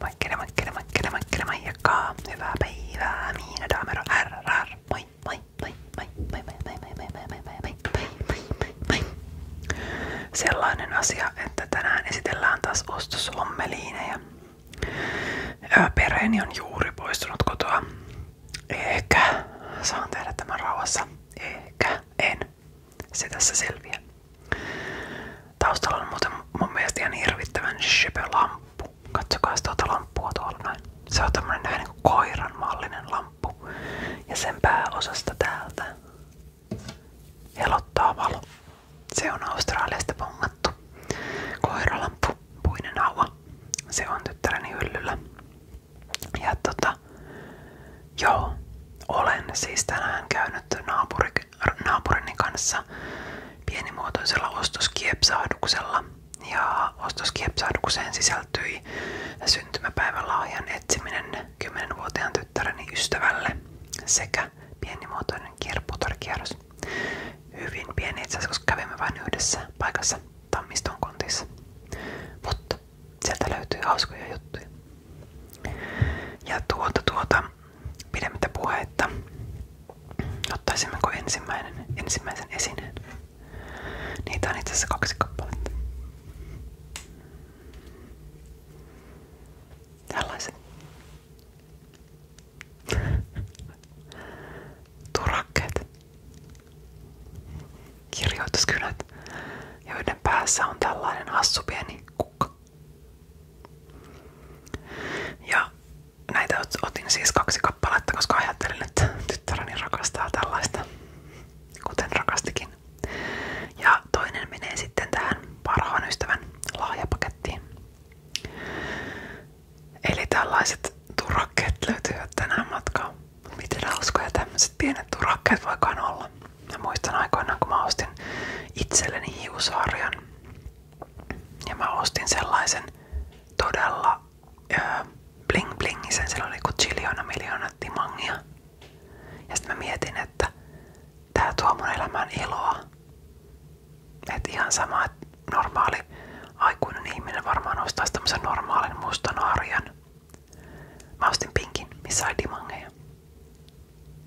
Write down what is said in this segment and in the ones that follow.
Moikkele, moikkele, moikkele, moikkele, moikkaa. Hyvää päivää, miina daamer ja herrar. Moi, moi, moi, moi, moi, moi, moi, moi, moi, moi, moi, moi, moi, moi, moi. Sellainen asia, että tänään esitellään taas ostushommeliineja. Perheeni on juuri poistunut kotoa. Ehkä saan tehdä tämän rauhassa. Ehkä en. Se tässä selviää. Taustalla on muuten mun mielestä ihan hirvittävän shöpö-lamppu. Katsokaa tuota lamppua tuolla näin. Se on tämmönen vähän niinku koiran mallinen lamppu. Ja sen pääosasta täältä helottaa valo. Se on Australiasta pongattu. Koiralamppu, puinen aua. Se on tyttäreni hyllyllä. Ja tota, joo, olen siis tänään käynyt naapuri, naapurini kanssa pienimuotoisella ostoskiepsahduksella. Ja ostoskiepsahdukseen sisältyi laajan etsiminen 10-vuotiaan tyttäreni ystävälle sekä pienimuotoinen kierpuutorikierros. Hyvin pieni itse asiassa, koska kävimme vain yhdessä paikassa Tammiston kontissa. Mutta sieltä löytyy hauskoja juttuja. Ja tuota tuota, pidemmittä puheitta ottaisimmeko ensimmäinen, ensimmäisen esineen. Niitä on itse asiassa kaksi kappaletta. Tällaiset. Turakkeet. Kirjoituskynät, joiden päässä on tällainen hassu pieni kukka. Ja näitä otin siis kaksi kappaletta, koska ajattelin, että tyttäreni rakastaa tällaista, kuten rakastikin. Ja toinen menee sitten tähän parhaan ystävän lahjapakettiin. Eli tällaiset turakkeet löytyvät tänään matkaan. Miten hauskoja tämmöiset pienet turakkeet voikaan olla? Mä muistan aikoinaan, kun mä ostin itselleni hiusharjan. Ja mä ostin sellaisen todella öö, bling blingisen, siellä oli kuin niinku chiliona miljoona timangia. Ja sitten mä mietin, että tää tuo mun elämään iloa. Et ihan sama, että normaali aikuinen ihminen varmaan ostaisi tämmöisen normaalin mustan harjan. Mä ostin pinkin, missä oli dimangeja.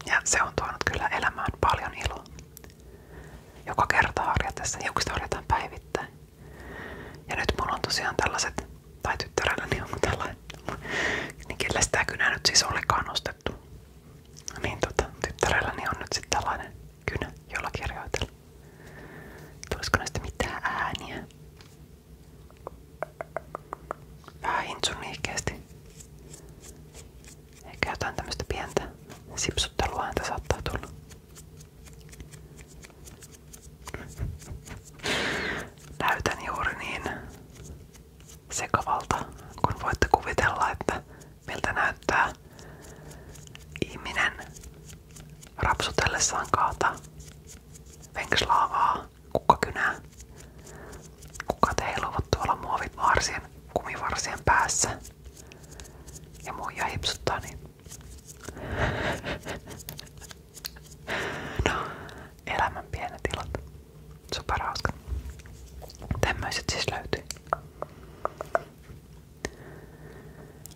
Ja se on tuonut kyllä elämään paljon iloa. Joka kerta harjatessa, hiuksista niin harjataan päivittäin. Ja nyt mulla on tosiaan tällaiset, tai tyttärelläni niin on tällainen, niin kelle sitä kynä nyt siis olikaan ostettu. Niin tota, tyttärelläni niin on nyt sitten tällainen kynä, jolla kirjoitella. Tulisiko näistä mitään ääniä? Vähän hintsun liikkeesti. Ehkä jotain tämmöistä pientä sipsuttelua häntä saattaa tulla. Näytän juuri niin sekavalta, kun voitte kuvitella, että miltä näyttää ihminen rapsutellessaan kaata venkslaavaa kukkakynää kukat heiluvat tuolla muovivarsien, kumivarsien päässä. Ja muija hipsuttaa niin. No, elämän pienet ilot. Superhauska. Tämmöiset siis löytyy.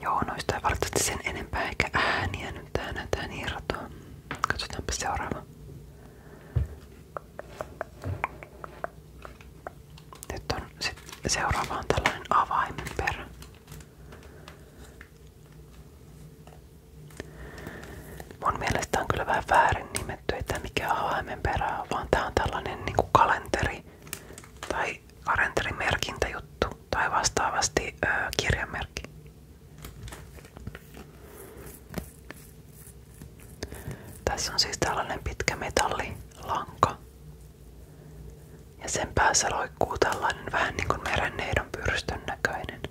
Joo, noista ei valitettavasti sen enempää eikä ääniä nyt tähän näytetään irtoa. Katsotaanpa seuraava. Nyt on sit seuraava on tällainen avaimen perä. Mun mielestä on kyllä vähän väärin nimetty, että mikä avaimen perä on, vaan tää on tällainen niinku kalenteri tai kalenterimerkintäjuttu tai vastaavasti öö, kirjamerkki. Tässä on siis tällainen pitkä metallilanka. Ja sen päässä loikkuu tällainen vähän niin kuin merenneidon pyrstön näköinen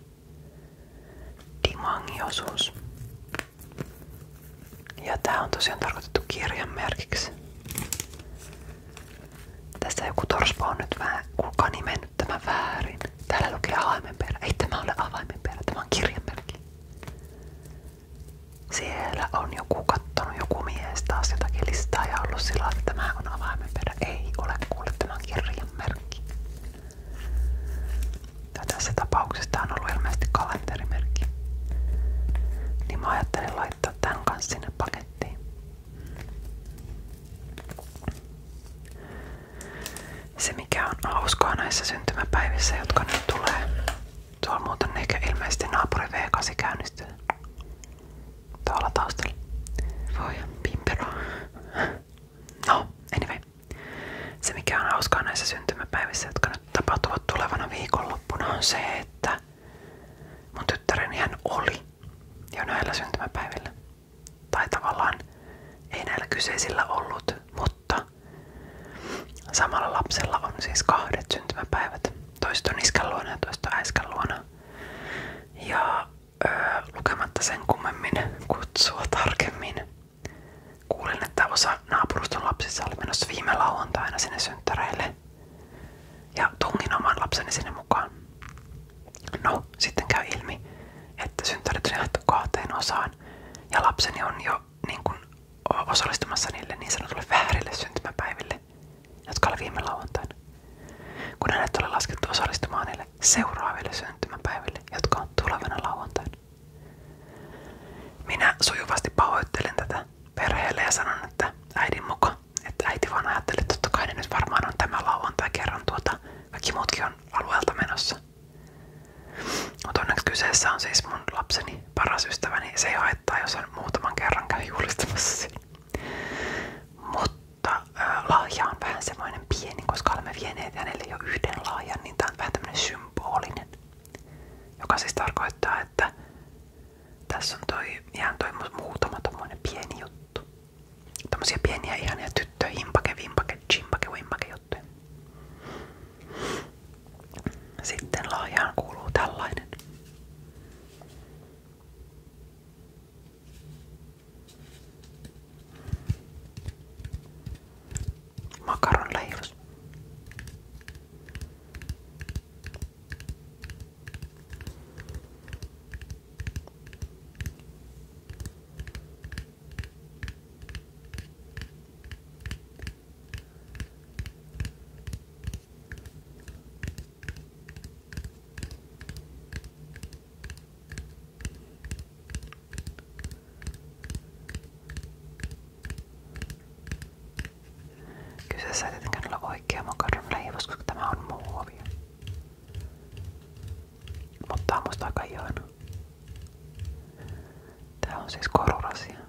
dimangiosuus. Ja tää on tosiaan tarkoitettu kirjanmerkiksi. Tässä joku torspo on nyt vähän, kuka nimennyt tämän väärin. Täällä lukee avaimenperä. Ei tämä ole avaimenperä, tämä on kirjanmerkki. Siellä on joku kattonut joku mies taas jotakin listaa ja ollut sillä että tämä on avaimenperä. Ei ole kuule tämän kirjan merkki. Ja tässä tapauksessa tämä on ollut ilmeisesti kalenterimerkki. Niin mä ajattelin laittaa tämän kanssa sinne paketti. Se mikä on hauskaa näissä syntymäpäivissä, jotka nyt tulee, Tuolla muuten eikä ilmeisesti naapuri V8 käynnistyy. Tuolla taustalla. Voi pimpero. No, anyway. Se mikä on hauskaa näissä syntymäpäivissä, jotka nyt tapahtuvat tulevana viikonloppuna on se, että mun tyttäreni hän oli jo näillä syntymäpäivillä. Tai tavallaan ei näillä kyseisillä ollut, mutta totta. Samalla lapsella on siis kahdet syntymäpäivät. Toista on iskän luona ja toista äiskän luona. Ja öö, lukematta sen kummemmin kutsua tarkemmin. Kuulin, että osa naapuruston lapsista oli menossa viime lauantaina sinne synttäreille. Ja tungin oman lapseni sinne mukaan. No, sitten käy ilmi, että synttärit on kahteen osaan. Ja lapseni on jo niin kuin osallistumassa niille niin sanotulle väärille syntymäpäiville, jotka oli viime lauantaina, kun hänet oli laskettu osallistumaan niille seuraaville syntymäpäiville, jotka on tulevana lauantaina. Minä sujuvasti pahoittelen tätä perheelle ja sanon, että äidin muka, että äiti vaan ajatteli, että totta kai ne nyt varmaan on tämä lauantai kerran tuota, kaikki muutkin on alueelta menossa. Mutta onneksi kyseessä on siis mun lapseni paras ystäväni. Se ei haittaa, jos hän muutaman kerran käy juhlistamassa Mutta äh, lahja on vähän semmoinen pieni, koska olemme vieneet hänelle jo yhden lahjan, niin tää on vähän tämmönen symbolinen. Joka siis tarkoittaa, että tässä on toi, ihan toi muutama tommonen pieni juttu. Tämmösiä pieniä ihania tyttöjä, himpake, vimpake, chimpake, wimpake juttuja. Sitten lahjaan kuuluu tällainen. Makaronleivos. Kyseessä ei tietenkään ole oikea mokadon leivos, koska tämä on muovia. Mutta tämä on musta aika ihana. on siis korurasia.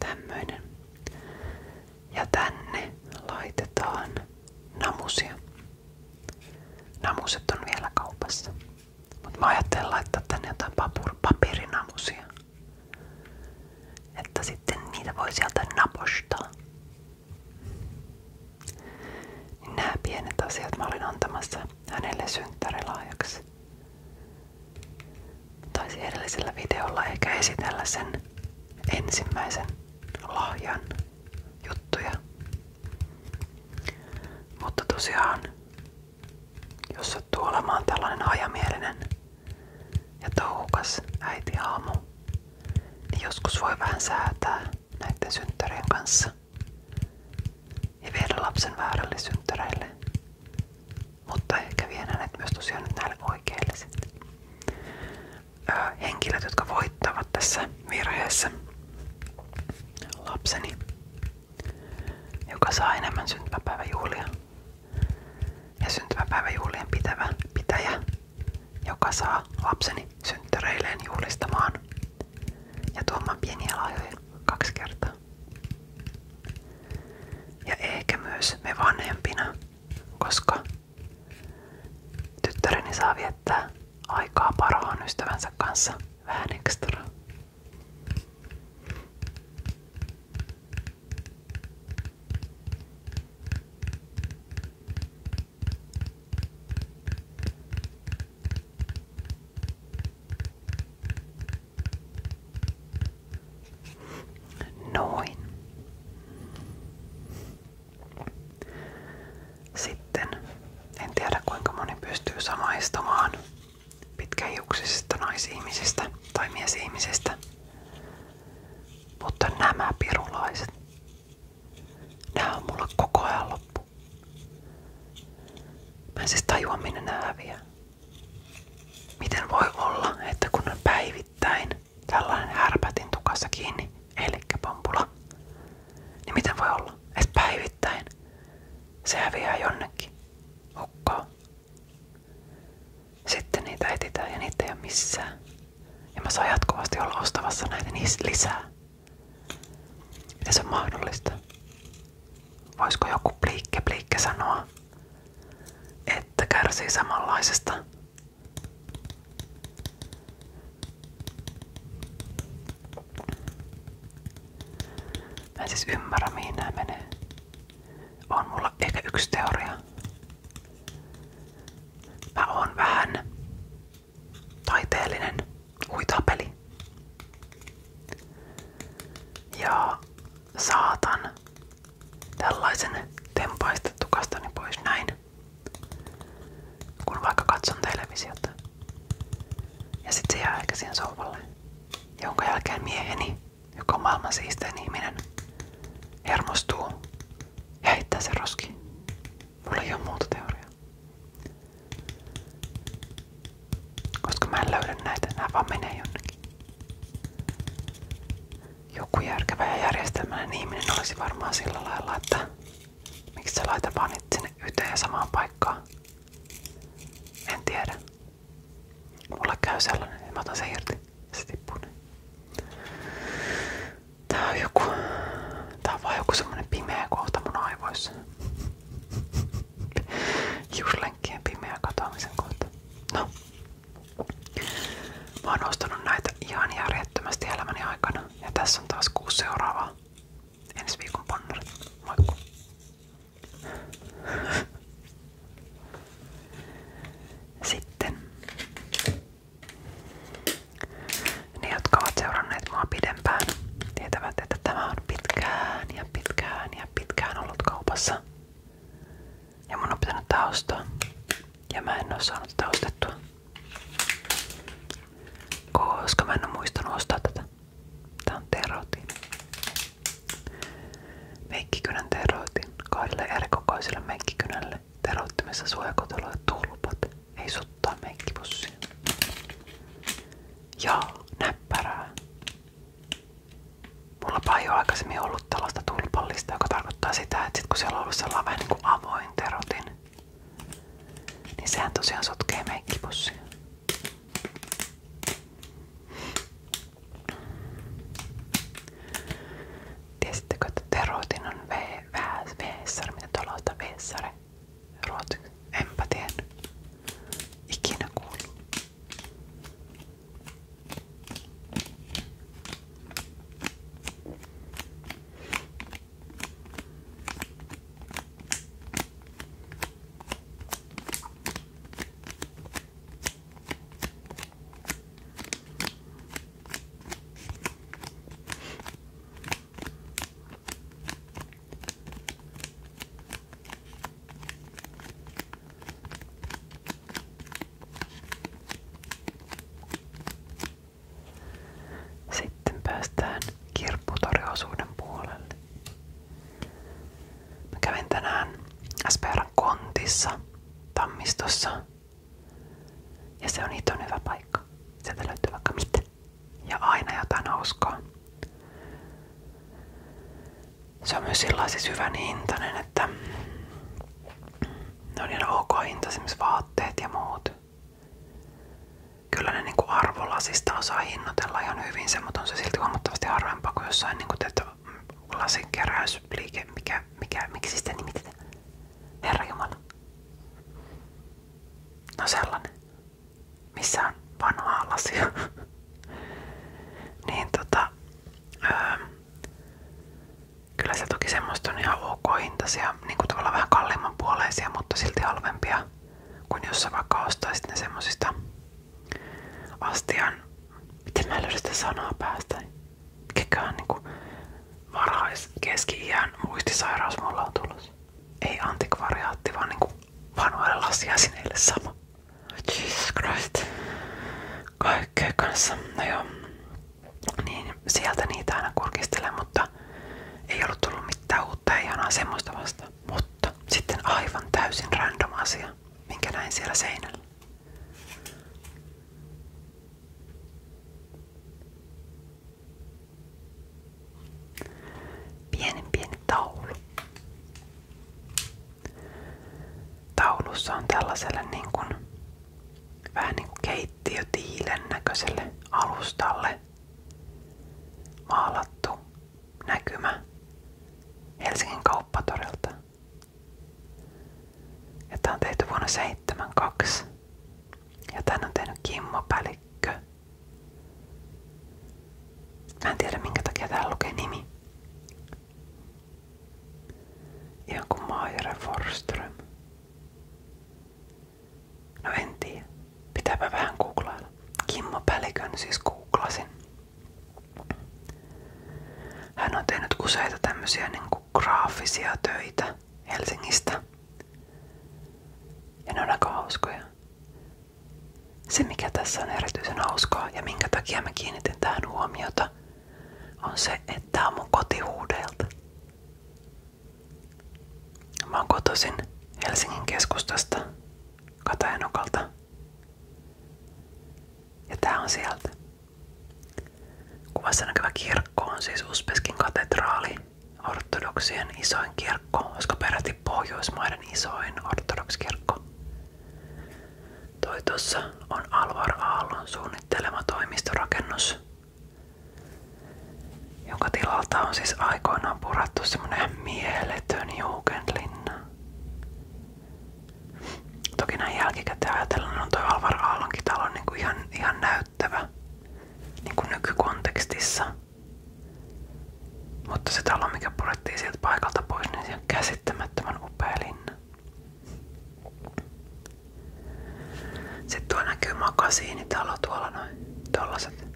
Tämmöinen. Ja tänne laitetaan namusia. Namuset on vielä kaupassa. Mutta mä ajattelin laittaa tänne jotain papur, paperinamusia. Että sitten niitä voi sieltä napostaa. Niin nämä pienet asiat mä olin antamassa hänelle synttärilaajaksi. Taisin edellisellä videolla eikä esitellä sen ensimmäisen lahjan juttuja. Mutta tosiaan jos sattuu olemaan tällainen hajamielinen ja touhukas äitihaamu, niin joskus voi vähän säätää näiden synttärien kanssa ja viedä lapsen väärälle synttäreille. Mutta ehkä vien hänet myös tosiaan nyt näille oikeille sitten. Öö, henkilöt, jotka voittavat tässä virheessä lapseni joka saa enemmän syntymäpäiväjuhlia. Ja syntymäpäiväjuhlien pitävä pitäjä, joka saa lapseni synttäreilleen juhlistamaan ja tuomaan pieniä lahjoja kaksi kertaa. Ja ehkä myös me vanhempina, koska tyttäreni saa viettää aikaa parhaan ystävänsä kanssa vähän ekstra. Noin. Sitten en tiedä kuinka moni pystyy samaistumaan pitkähiuksisesta naisihmisestä tai miesihmisestä. Mutta nämä pirulaiset, nämä on mulla koko ajan loppu. Mä en siis tajua minne nämä häviää. Miten voi olla, että kun on päivittäin tällainen härpätin tukassa kiinni, eli pompula, niin miten voi olla, että päivittäin se häviää jonnekin. Hukkaa. Sitten niitä etsitään ja niitä ei ole missään. Ja mä saan jatkuvasti olla ostavassa näitä lisää. Miten se on mahdollista? Voisiko joku pliikke pliikke sanoa, että kärsii samanlaisesta? Mä en siis ymmärrä mihin nämä menee. On mulla ehkä yksi teoria. Mä oon vähän taiteellinen huitapeli. Ja saatan tällaisen tempaista tukastani pois näin. Kun vaikka katson televisiota. Ja sitten se jää ehkä siihen sohvalle, jonka jälkeen mieheni, joka on maailman siistein ihminen, hermostuu ja heittää sen roskiin. Mulla ei ole muuta teoriaa. Koska mä en löydä näitä, nämä vaan menee jonnekin. Joku järkevä ja järjestelmäinen ihminen olisi varmaan sillä lailla, että miksi sä laita vaan sinne yhteen ja samaan paikkaan, en tiedä. Mulla käy sellainen, niin mä otan sen irti. Se tippuu niin. Tää on joku... Tää on vaan joku semmonen pimeä kohta mun aivoissa. Hiuslenkkien pimeä katoamisen kohta. No. Mä oon ostanut näitä ihan järjettömästi elämäni aikana. Ja tässä on taas kuusi seuraavaa. Ensi viikon ponnarit. Moikku. Sitten ne, jotka ovat seuranneet mua pidempään, että tämä on pitkään ja pitkään ja pitkään ollut kaupassa. Ja mun on pitänyt Ja mä en saanut taustettua. Koska mä en oo muistanut ostaa tätä. Tämä on terotin. Meikkikynän terotin. Kahdelle erikokoiselle meikkikynälle terottimessa suojakoteloa tulpat. Ei suttaa meikkipussiin. Ja näppärää. Mulla ei ole aikaisemmin ollut tällaista tulpallista, joka tarkoittaa sitä, että sit kun siellä on ollut sellainen vähän niin kuin avoin terotin, niin sehän tosiaan sotkee meikkipussiin. Tiesittekö, että terotin on veessari, mitä tuolla veessari? Ruotsi, enpä tiennyt. Ikinä kuullut. Sitten päästään kirpputoriosuuden puolelle. Mä kävin tänään SPRn kontissa tammistossa. Ja se on hiton hyvä paikka. Sieltä löytyy vaikka mitä. Ja aina jotain hauskaa. Se on myös sillä siis hyvän hintainen, että ne on ihan ok hinta, vaatteet ja muut kyllä ne niinku arvolasista osaa hinnoitella ihan hyvin se, mutta on se silti huomattavasti harvempaa kuin jossain niinku lasikeräysliike, mikä, mikä, miksi sitä nimitetään? Herrajumala. No sellainen, missä on vanhaa lasia. niin tota, öö, kyllä se toki semmoista on ihan ok hintaisia, niinku tavallaan vähän kalliimman puoleisia, mutta silti halvempia kuin jos sä vaikka ostaisit ne semmosista astian, miten mä löydän sanaa päästä, mikäköhän niinku keski-iän muistisairaus mulla Ei antikvariaatti, vaan niinku vanhoille sama. Jesus Christ. Kaikkea kanssa. No Niin sieltä niitä aina kurkistelen, mutta ei ollut tullut mitään uutta ja ihanaa semmoista vasta. Mutta sitten aivan täysin random asia, minkä näin siellä seinällä. pieni taulu. Taulussa on tällaiselle niin kuin, vähän niin kuin keittiötiilen näköiselle alustalle maalattu näkymä Helsingin kauppatorilta. Ja tämä on tehty vuonna 72. Ja tän on tehnyt Kimmo Pälikkö. Mä en tiedä minkä takia täällä lukee nimi. Ihan kuin Maire Forström. No en tiedä. Pitääpä vähän googlailla. Kimmo Pälikön siis googlasin. Hän on tehnyt useita tämmöisiä niin kuin graafisia töitä Helsingistä. Ja ne on aika hauskoja. Se mikä tässä on erityisen hauskaa ja minkä takia mä kiinnitin tähän huomiota on se, että tää on mun kotihuudeelta. Mä oon kotoisin Helsingin keskustasta katajanokalta. Ja tää on sieltä. Kuvassa näkyvä kirkko on siis Uspeskin katedraali, ortodoksien isoin kirkko, koska peräti Pohjoismaiden isoin ortodokskirkko. Toi tuossa on Alvar Aallon suunnittelema toimistorakennus, jonka tilalta on siis aikoinaan purattu semmonen mieletön jugendlinna. Toki näin jälkikäteen ajatellen niin on tuo Alvar Aallonkin talo niinku ihan, ihan näyttävä niinku nykykontekstissa. Mutta se talo, mikä purettiin sieltä paikalta pois, niin se on käsittämättömän upea linna. Sitten tuo näkyy makasiinitalo tuolla noin. Tollaset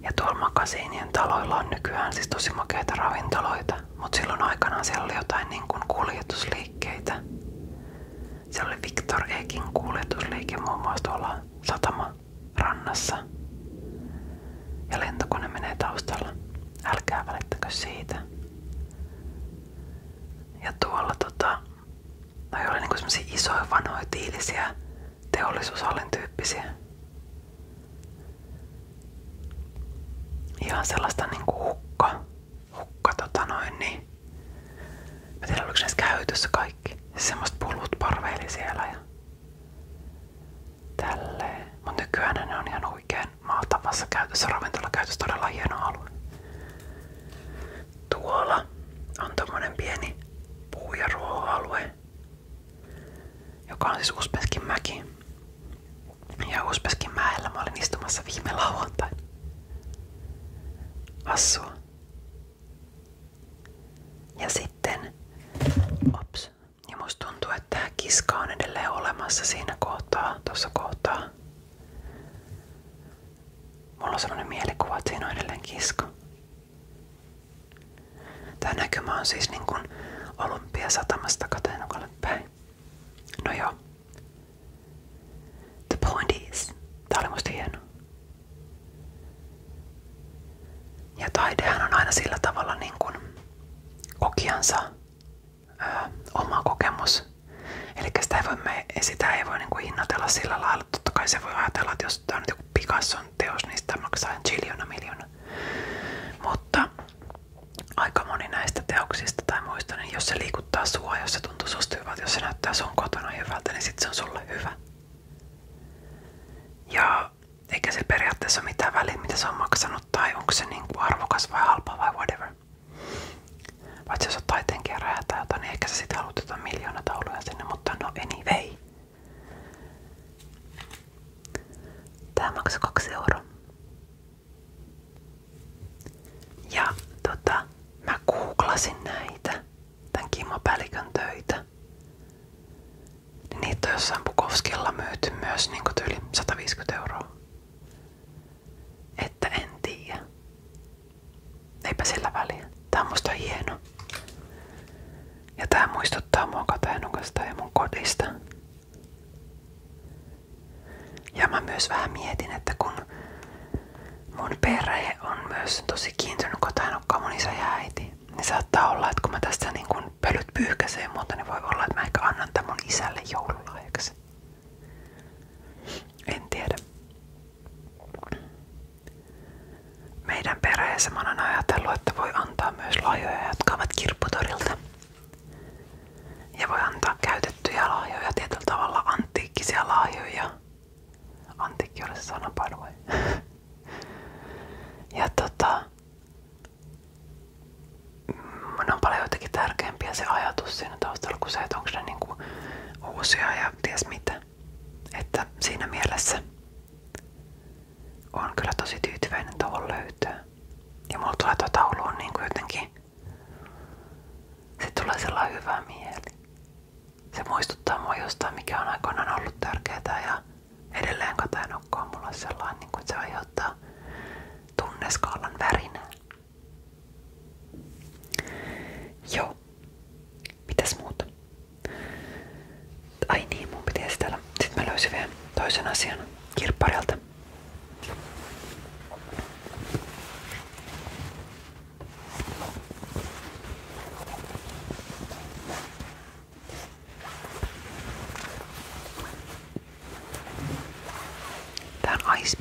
ja tuolla makasiinien taloilla on nykyään siis tosi makeita ravintoloita, mutta silloin aikanaan siellä oli jotain niin kuin kuljetusliikkeitä. Siellä oli Victor Ekin kuljetusliike muun muassa tuolla satama rannassa. Ja lentokone menee taustalla. Älkää välittäkö siitä. Ja tuolla tota, noi oli niinku semmosia isoja vanhoja tiilisiä teollisuusallin tyyppisiä. Ihan sellaista niinku hukka. Hukka tota noin niin. Mä tiedän oliko näissä käytössä kaikki. Siis semmoset pulut parveili siellä ja tälleen. Mut nykyään ne on ihan oikein mahtavassa käytössä. Ravintola käytössä todella hieno alue. Tuolla on tommonen pieni puu- ja ruohoalue joka on siis Uspenskin mäki. Ja Uspenskin mäellä mä olin istumassa viime lauantai. Assua. Ja sitten, ops, ja niin musta tuntuu, että tää kiska on edelleen olemassa siinä kohtaa, tuossa kohtaa. Mulla on sellainen mielikuva, että siinä on edelleen kiska. Tämä näkymä on siis niin kuin olympiasatamasta Katenukalle päin. No joo. The point is. Tää oli musta hieno. Ja taidehan on aina sillä tavalla niin kuin kokiansa ää, oma kokemus. Eli sitä ei voi, me, sitä ei voi niin kuin hinnoitella sillä lailla. Totta kai se voi ajatella, että jos tämä on joku Picasso, teos, niistä maksaa chiliona miljoona. Mutta aika moni näistä teoksista tai muista, niin jos se liikuttaa sua, jos se tuntuu susta hyvältä, jos se näyttää sun kotona hyvältä, niin sit se on sulle hyvä. Ja eikä se periaatteessa ole mitään väliä, mitä se on maksanut tai onko se niin kuin arvokas vai halpa vai whatever. Paitsi jos on taiteen kerääjä tai jotain, niin ehkä sä sitten haluat jotain miljoonatauluja sinne, mutta no anyway. Tää maksoi 2 euroa. Ja tota, mä googlasin näitä, tän Kimmo Pälikön töitä. Niitä on jossain Bukovskilla myyty myös niin yli 150 euroa. Että en tiedä. Eipä sillä väliä. Tää on musta hieno. Ja tää muistuttaa mua Katajanukasta ja mun kodista. Ja mä myös vähän mietin, että kun mun perhe on myös tosi kiintynyt Katajanukkaan mun isä ja äiti, niin saattaa olla, että kun mä tästä niin kun pölyt pyyhkäseen muuta, niin voi olla, että mä ehkä annan tämän mun isälle joululahjaksi. En tiedä. Meidän perheessä mä olen ajatellut, että voi antaa myös lahjoja, jotka ovat kirpputorilta. Ja voi antaa käytettyjä lahjoja, tietyllä tavalla antiikkisia lahjoja. Antiikki ole sana, by the Ja tota... Mun on paljon jotenkin tärkeämpiä se ajatus siinä taustalla kuin se, että onko ne niinku uusia ja ties mitä. Että siinä mielessä on kyllä tosi tyytyväinen tuohon löytöön. Ja mulla tulee tuo taulu on niin kuin jotenkin, sit tulee sellainen hyvä mieli. Se muistuttaa mua jostain, mikä on aikoinaan ollut tärkeää ja edelleen katajanoukko on mulla sellainen, niin kuin se aiheuttaa tunneskaalan värinää. Joo. Mitäs muuta? Ai niin, mun piti esitellä. Sitten mä löysin vielä toisen asian kirpparilta. Tää on Ice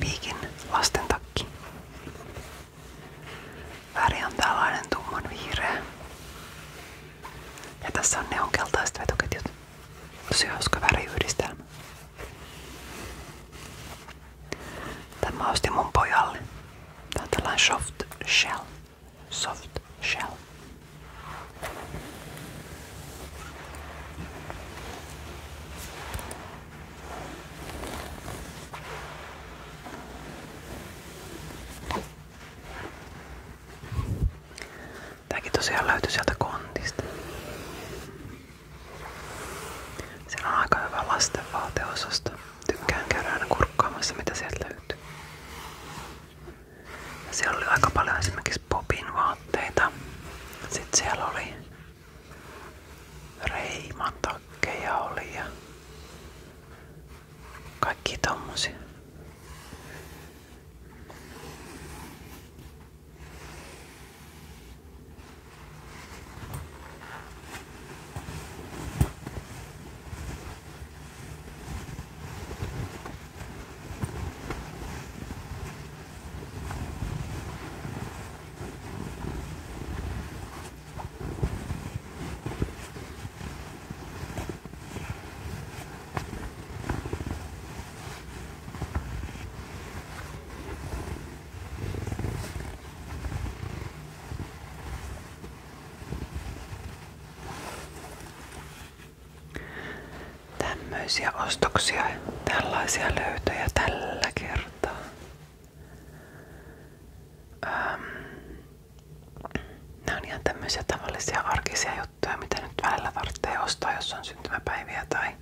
Väri on tällainen tumman vihreä. Ja tässä on neonkeltaiset vetoketjut. Tosi hauska väriyhdistelmä. Tämä ostin mun pojalle. Tämä on tällainen soft shell. Soft shell. Tääkin tosiaan löytyi sieltä kontista. Siellä on aika hyvä lasten vaateosasto. Tykkään käydä aina kurkkaamassa mitä sieltä löytyy. Ja siellä oli aika paljon esimerkiksi popin vaatteita. Sitten siellä oli reiman takkeja oli ja kaikki tommosia. Tämmöisiä ostoksia, tällaisia löytöjä tällä kertaa. Nämä on ihan tämmöisiä tavallisia arkisia juttuja, mitä nyt välillä tarvitsee ostaa, jos on syntymäpäiviä tai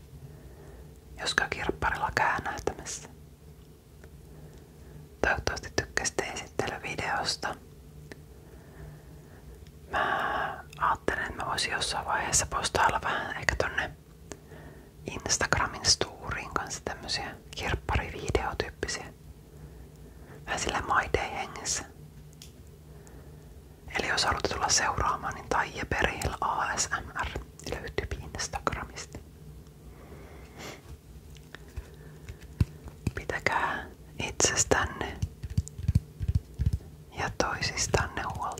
jos käy kirpparilla käänäyttämässä. Toivottavasti tykkäsitte esittelyvideosta. Mä ajattelen, että mä voisin jossain vaiheessa postailla vähän ehkä tonne Instagramin storyin kanssa tämmösiä kirpparivideotyyppisiä Vähän sille My Day hengessä. Eli jos haluatte tulla seuraamaan, niin Taija Peril ASMR löytyy Instagramista. Pitäkää itsestänne ja toisistanne huolta.